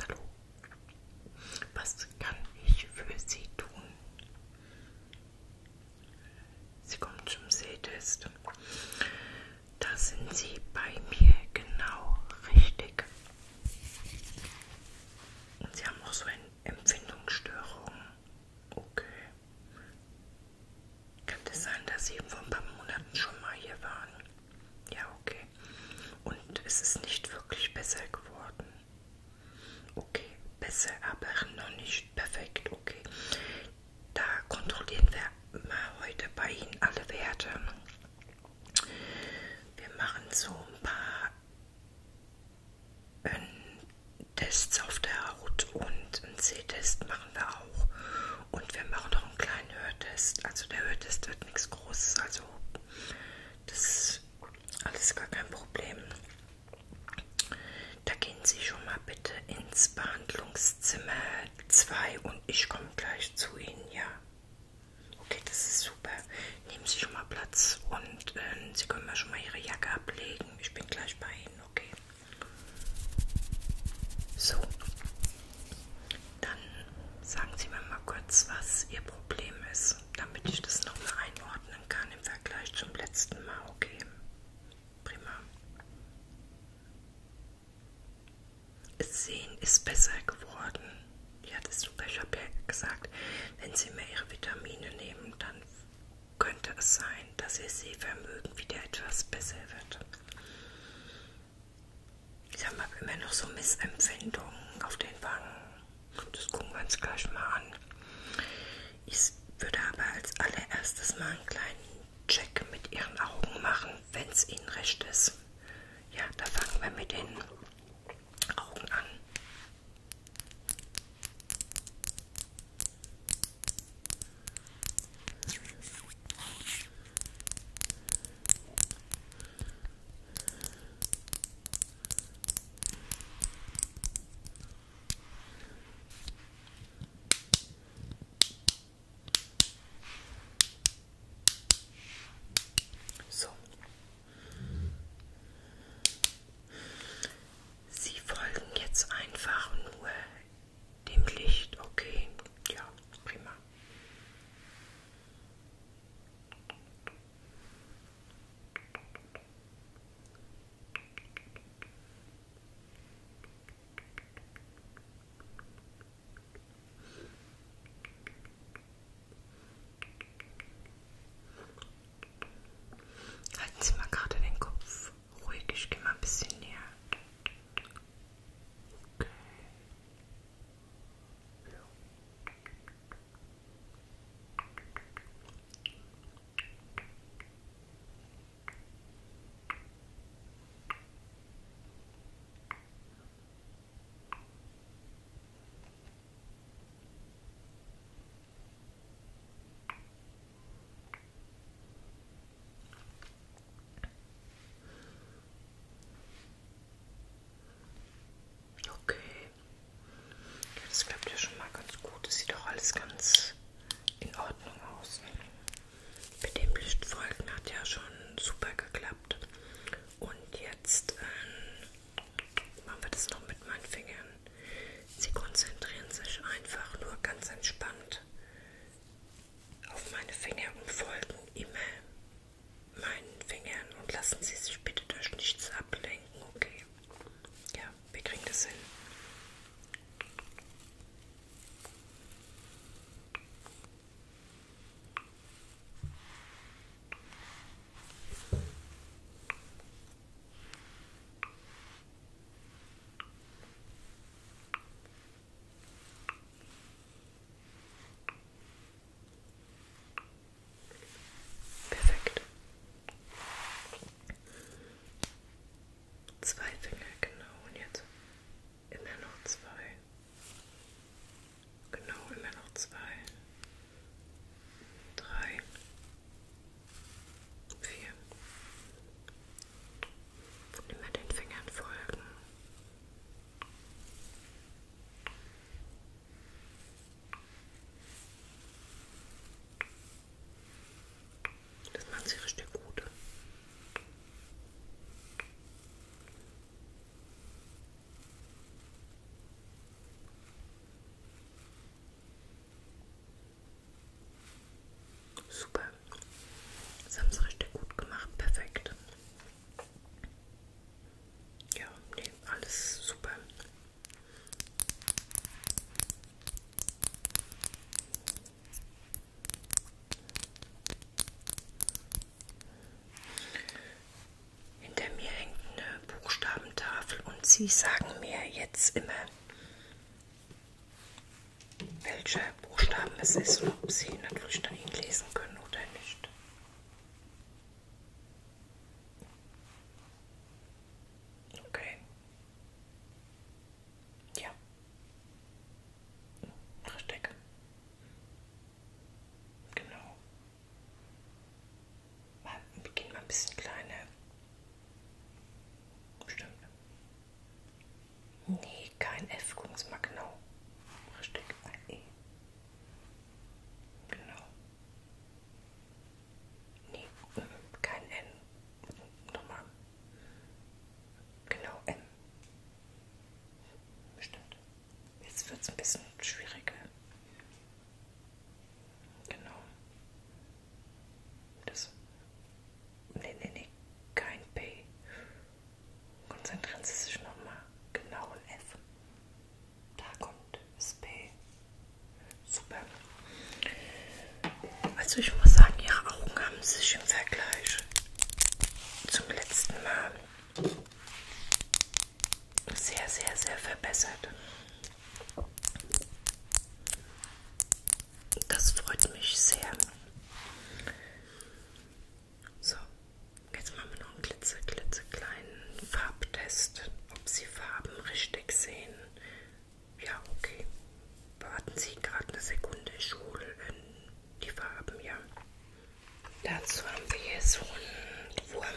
Hallo. Was kann ich für Sie tun? Sie kommen zum Sehtest. Da sind Sie bei mir genau richtig. Und Sie haben auch so eine Empfindungsstörung. Okay. Kann es das sein, dass Sie vor ein paar Monaten schon mal hier waren? Ja, okay. Und es ist nicht wirklich besser geworden. Okay, besser, aber noch nicht perfekt. Okay, da kontrollieren wir mal heute bei Ihnen alle Werte. Wir machen so ein paar äh, Tests auf der Haut und einen C-Test mal machen wir auch. Und wir machen noch einen kleinen Hörtest. Also der Hörtest wird nichts Großes. Also das ist alles gar kein Problem. Da gehen Sie schon mal bitte ins Behandlungszimmer 2 und ich komme gleich zu Ihnen, ja. Okay, das ist super. Nehmen Sie schon mal Platz und äh, Sie können mir schon mal Ihre Jacke ablegen. Ich bin gleich bei Ihnen, okay. So, dann sagen Sie mir mal kurz, was Ihr Problem ist, damit ich das nochmal einordnen kann im Vergleich zum letzten Mal. Okay, prima. Sehen ist besser geworden. Ja, das ist super. Ich habe ja gesagt, wenn Sie mehr Ihre Vitamine nehmen, dann könnte es sein sein, dass ihr Sehvermögen wieder etwas besser wird. Ich habe immer noch so Missempfindungen auf den Wangen. Das gucken wir uns gleich mal an. Ich würde aber als allererstes mal einen kleinen Check mit ihren Augen machen, wenn es ihnen recht ist. Ja, da fangen wir mit den Augen an. So. Sie folgen jetzt einfach nur dem Licht, okay. Ja, prima. Halten Sie mal gerade den Kopf Ruhig, ich gehe mal ein bisschen näher. Okay. Ja. Okay. Okay. Ja, das klappt ja schon mal ganz gut. Das sieht doch alles ganz in Ordnung aus. Mit dem Lichtfolgen hat ja schon super geklappt. Und jetzt ähm, machen wir das noch mit meinen Fingern. Sie konzentrieren sich einfach nur ganz entspannt auf meine Finger und folgen immer meinen Fingern und lassen Sie sich bitte durch nichts ablenken, okay? Ja, wir kriegen das hin. Okay. Perfekt. Zwei Finger, genau. Und jetzt immer noch zwei. Genau, immer noch zwei. Drei. Vier. Immer den Fingern folgen. Das macht sie richtig gut. Super. Das haben sie richtig gut gemacht. Perfekt. Ja, nee, alles super. Hinter mir hängt eine Buchstabentafel und sie sagen mir jetzt immer welche Buchstaben es ist und ob Sie natürlich dann ihn lesen können oder nicht. Okay. Ja. Richtig. Genau. Wir gehen mal ein bisschen kleine Stimmt. Nee, kein F, gucken Sie mal genau. Richtig, ein E. Genau. Nee, ähm, kein N. Nochmal. Genau, M. Stimmt. Jetzt wird es ein bisschen schwieriger. Genau. Das. Nee, nee, nee, kein P. Konzentrieren Sie sich nochmal genau ein F. Da kommt das P. Super. Also ich muss sagen, Ihre Augen haben sich im Vergleich zum letzten Mal sehr, sehr, sehr verbessert. Das freut mich sehr. So, jetzt machen wir noch einen glitzer, klitzekleinen Farbtest, ob Sie Farben richtig sehen. Ja, okay. Warten Sie gerade eine Sekunde, ich hole ähm, die Farben, ja. Dazu haben wir hier so einen Wurm.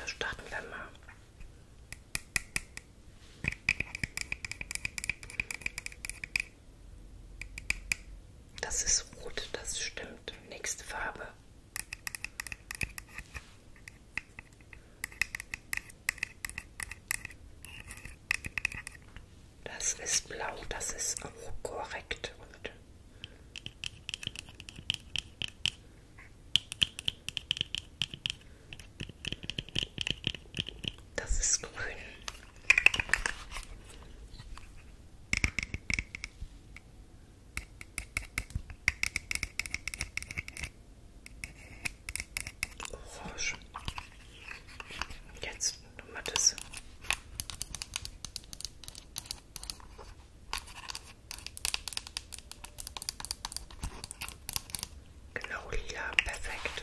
Das starten wir mal. Das ist rot, das stimmt. Nächste Farbe. Das ist blau, das ist auch korrekt. Und das ist grün. Orange. Jetzt nochmal das. Genau, lila, perfekt.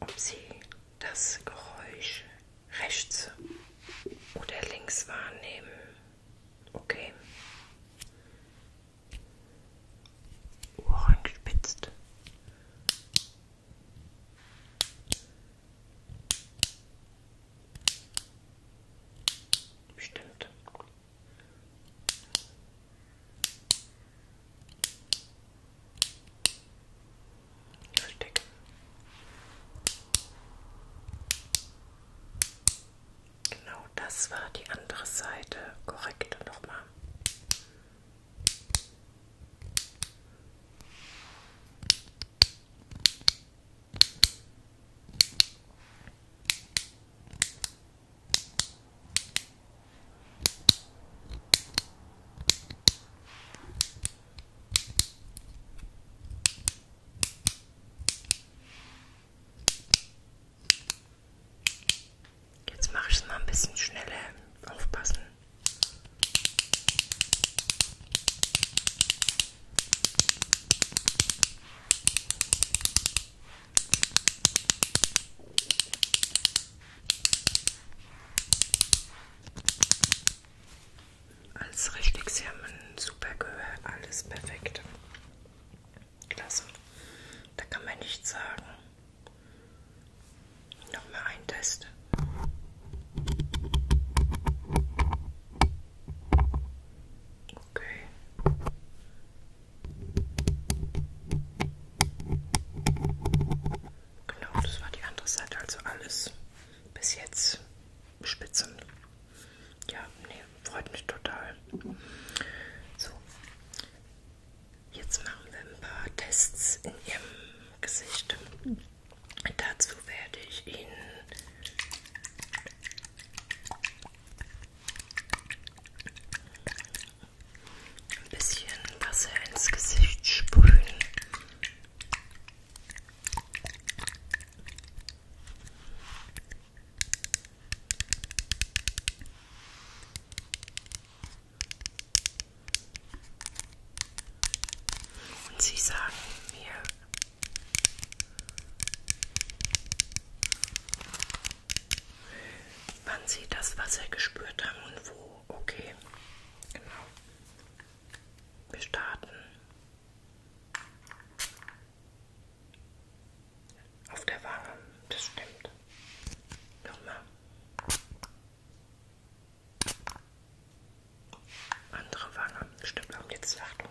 ob Sie das Geräusch rechts oder links wahrnehmen. Okay. Ohren gespitzt. Bestimmt verstecken. Genau, das war die andere Seite. Korrekt nochmal. Jetzt mache ich es mal ein bisschen schneller. Aufpassen. Alles richtig, Sie haben ein super Gehör, alles perfekt. Klasse. Da kann man nichts sagen. Nochmal ein Test. Okay. Genau, das war die andere Seite, also alles bis jetzt Spitzen. Ja, nee, freut mich total. So, jetzt machen wir ein paar Tests in Ihrem Gesicht. Dazu werde ich Ihnen ein bisschen Wasser ins Gesicht sprühen. Und sie sagen mir, wann sie das Wasser gespürt haben und wo. Okay, genau. Wir starten auf der Wange, das stimmt. Nochmal. Andere Wange, stimmt auch jetzt, Achtung.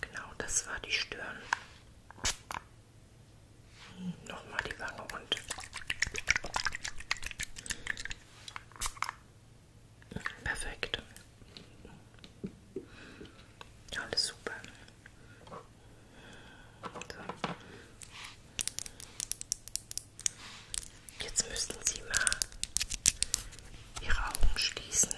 Genau, das war die Stirn. Nochmal die Wange und perfekt. Alles super. So. Jetzt müssten Sie mal Ihre Augen schließen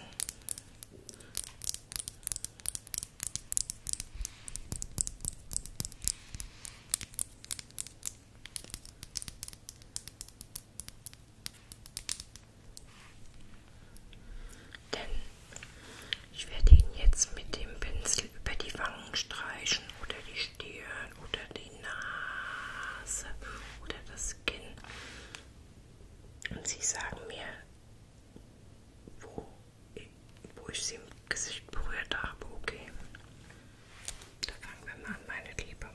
denn ich werde ihn jetzt mit dem Pinsel über die Wangen streichen oder die Stirn oder die Nase oder das Kinn. Und Sie sagen mir, wo wo ich sie im Gesicht berührt habe. Okay. Da fangen wir mal an, meine Liebe.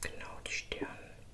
Genau die Stirn.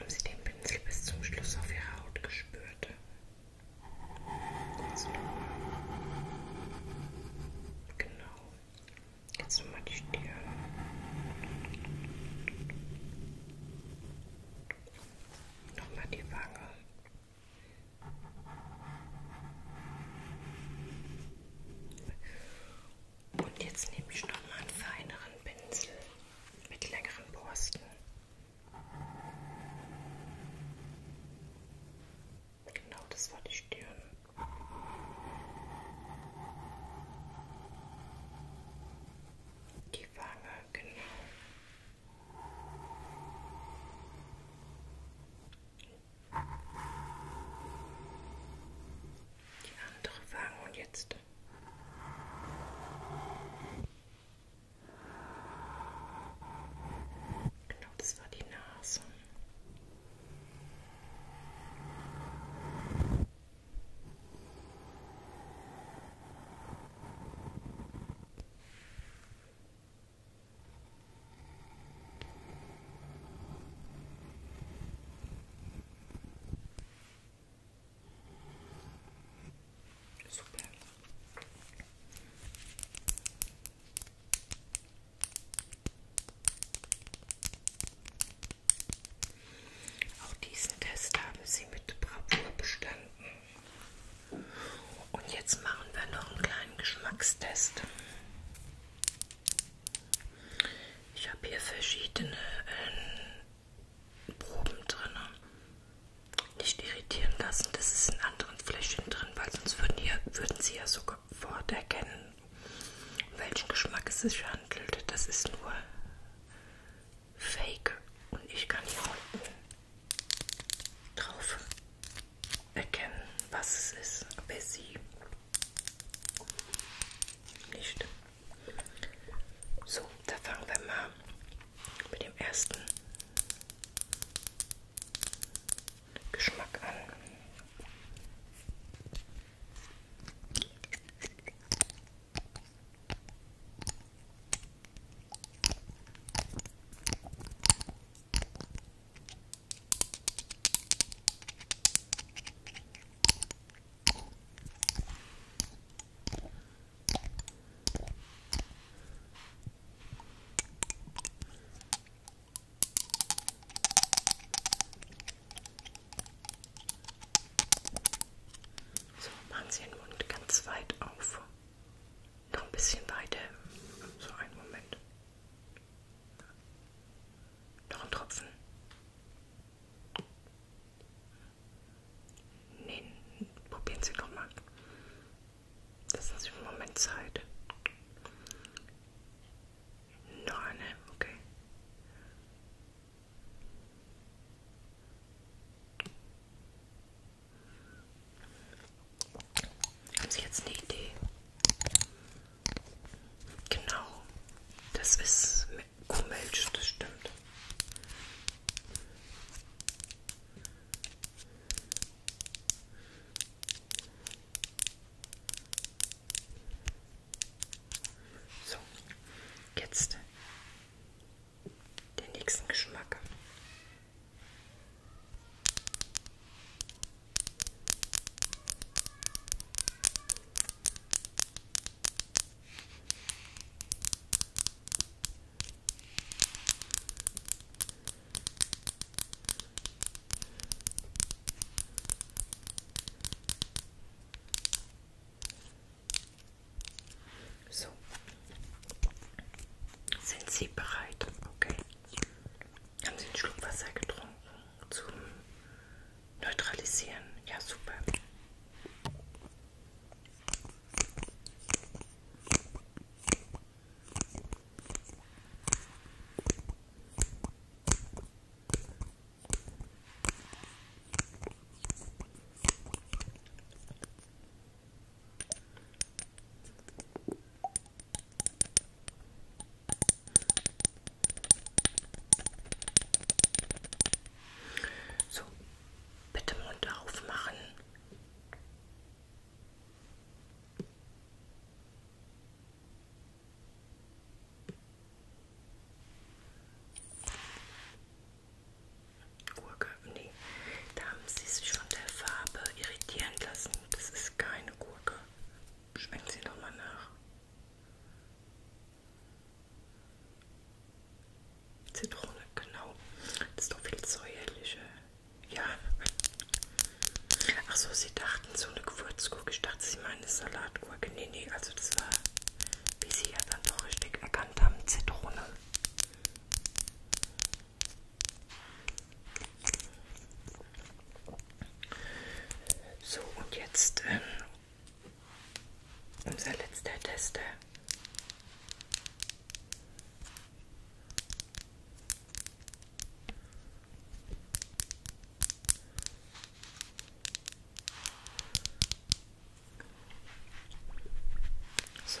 haben sie den Pinsel bis zum Schluss auf ihre Haut gespürt. Jetzt nochmal. Genau. Jetzt nochmal die Stirn. Nochmal die Wange. Und jetzt nehme ich nochmal einen feineren Pinsel mit längeren Borsten. Genau, das war die Stirn. Die Wange, genau. Die andere Wange und jetzt Luft. Genau, das war die Nase. Super. Auch diesen Test haben Sie mit Bravour bestanden. Und jetzt machen wir noch einen kleinen Geschmackstest. Ich habe hier verschiedene ähm, Proben drin. Nicht irritieren lassen, das ist in anderen Fläschchen drin, weil sonst würden, hier, würden sie ja sofort erkennen, um welchen Geschmack es sich handelt. Das ist nur Fake und ich kann hier unten drauf erkennen, was es ist, aber sie nicht. So, da fangen wir mal mit dem ersten Geschmack an. So, machen Sie den Mund ganz weit auf. Noch ein bisschen weiter. So einen Moment. Noch ein Tropfen. Nee, probieren Sie nochmal. Lassen Sie einen Moment Zeit. Noch eine, okay. Haben Sie jetzt eine Idee? Genau, das ist mit Kuhmilch, das stimmt. So, jetzt den nächsten Geschmack. So. Sind Sie bereit? Okay. Haben Sie einen Schluck Wasser getrunken zum Neutralisieren. Ja, super. So, bitte Mund aufmachen. Gurke, nee, da haben sie sich von der Farbe irritieren lassen. Das ist keine Gurke. Schmecken Sie doch mal nach. Zitrone, genau. Das ist doch viel säuerlicher. Ja. Ach so, sie dachten so eine Gewürzgurke. Ich dachte, sie meinen eine Salatgurke. Nee, nee, also das war, wie sie ja dann doch richtig erkannt haben, Zitrone. So, und jetzt ähm, unser letzter Tester. So.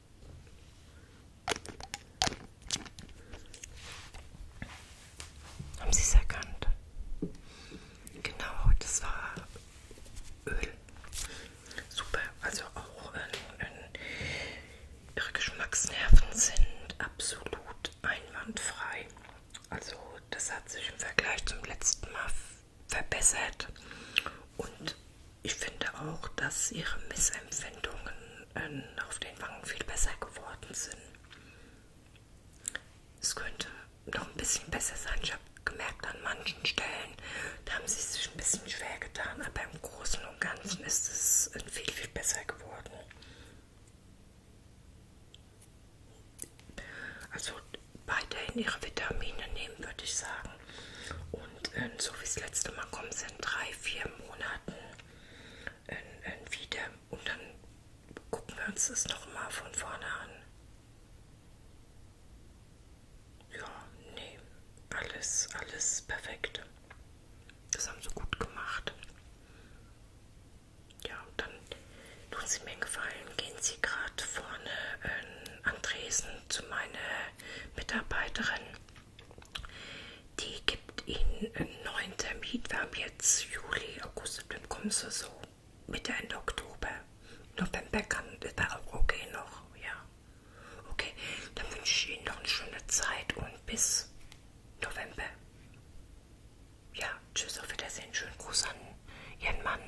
Haben Sie es erkannt? Genau, das war Öl. Super, also auch in, ähm, in Ihre Geschmacksnerven sind absolut einwandfrei. Also das hat sich im Vergleich zum letzten Mal verbessert und ich finde auch, dass ihre Missempfindungen äh, auf den Wangen viel besser geworden sind. Es könnte noch ein bisschen besser sein. Ich habe gemerkt, an manchen Stellen, da haben sie sich ein bisschen schwer getan, aber im Großen und Ganzen ist es äh, viel, viel besser geworden. Also weiterhin ihre Vitamine nehmen, würde ich sagen. Und ähm, so wie das letzte Mal kommt es in drei, vier Monaten in, ähm, in ähm, wieder. Und dann gucken wir uns das nochmal von vorne an. Ja, nee, alles, alles perfekt. Das haben sie gut gemacht. Ja, dann tun Sie mir einen Gefallen, gehen Sie gerade vorne ähm, an Dresden zu meiner Mitarbeiterin. Die gibt ihnen einen neuen Termin. Wir haben jetzt Juli, August, September, kommen sie so Mitte, Ende Oktober. November kann, ist da auch okay noch, ja. Okay, dann wünsche ich Ihnen noch eine schöne Zeit und bis November. Ja, tschüss, auf Wiedersehen, schönen Gruß an Ihren Mann.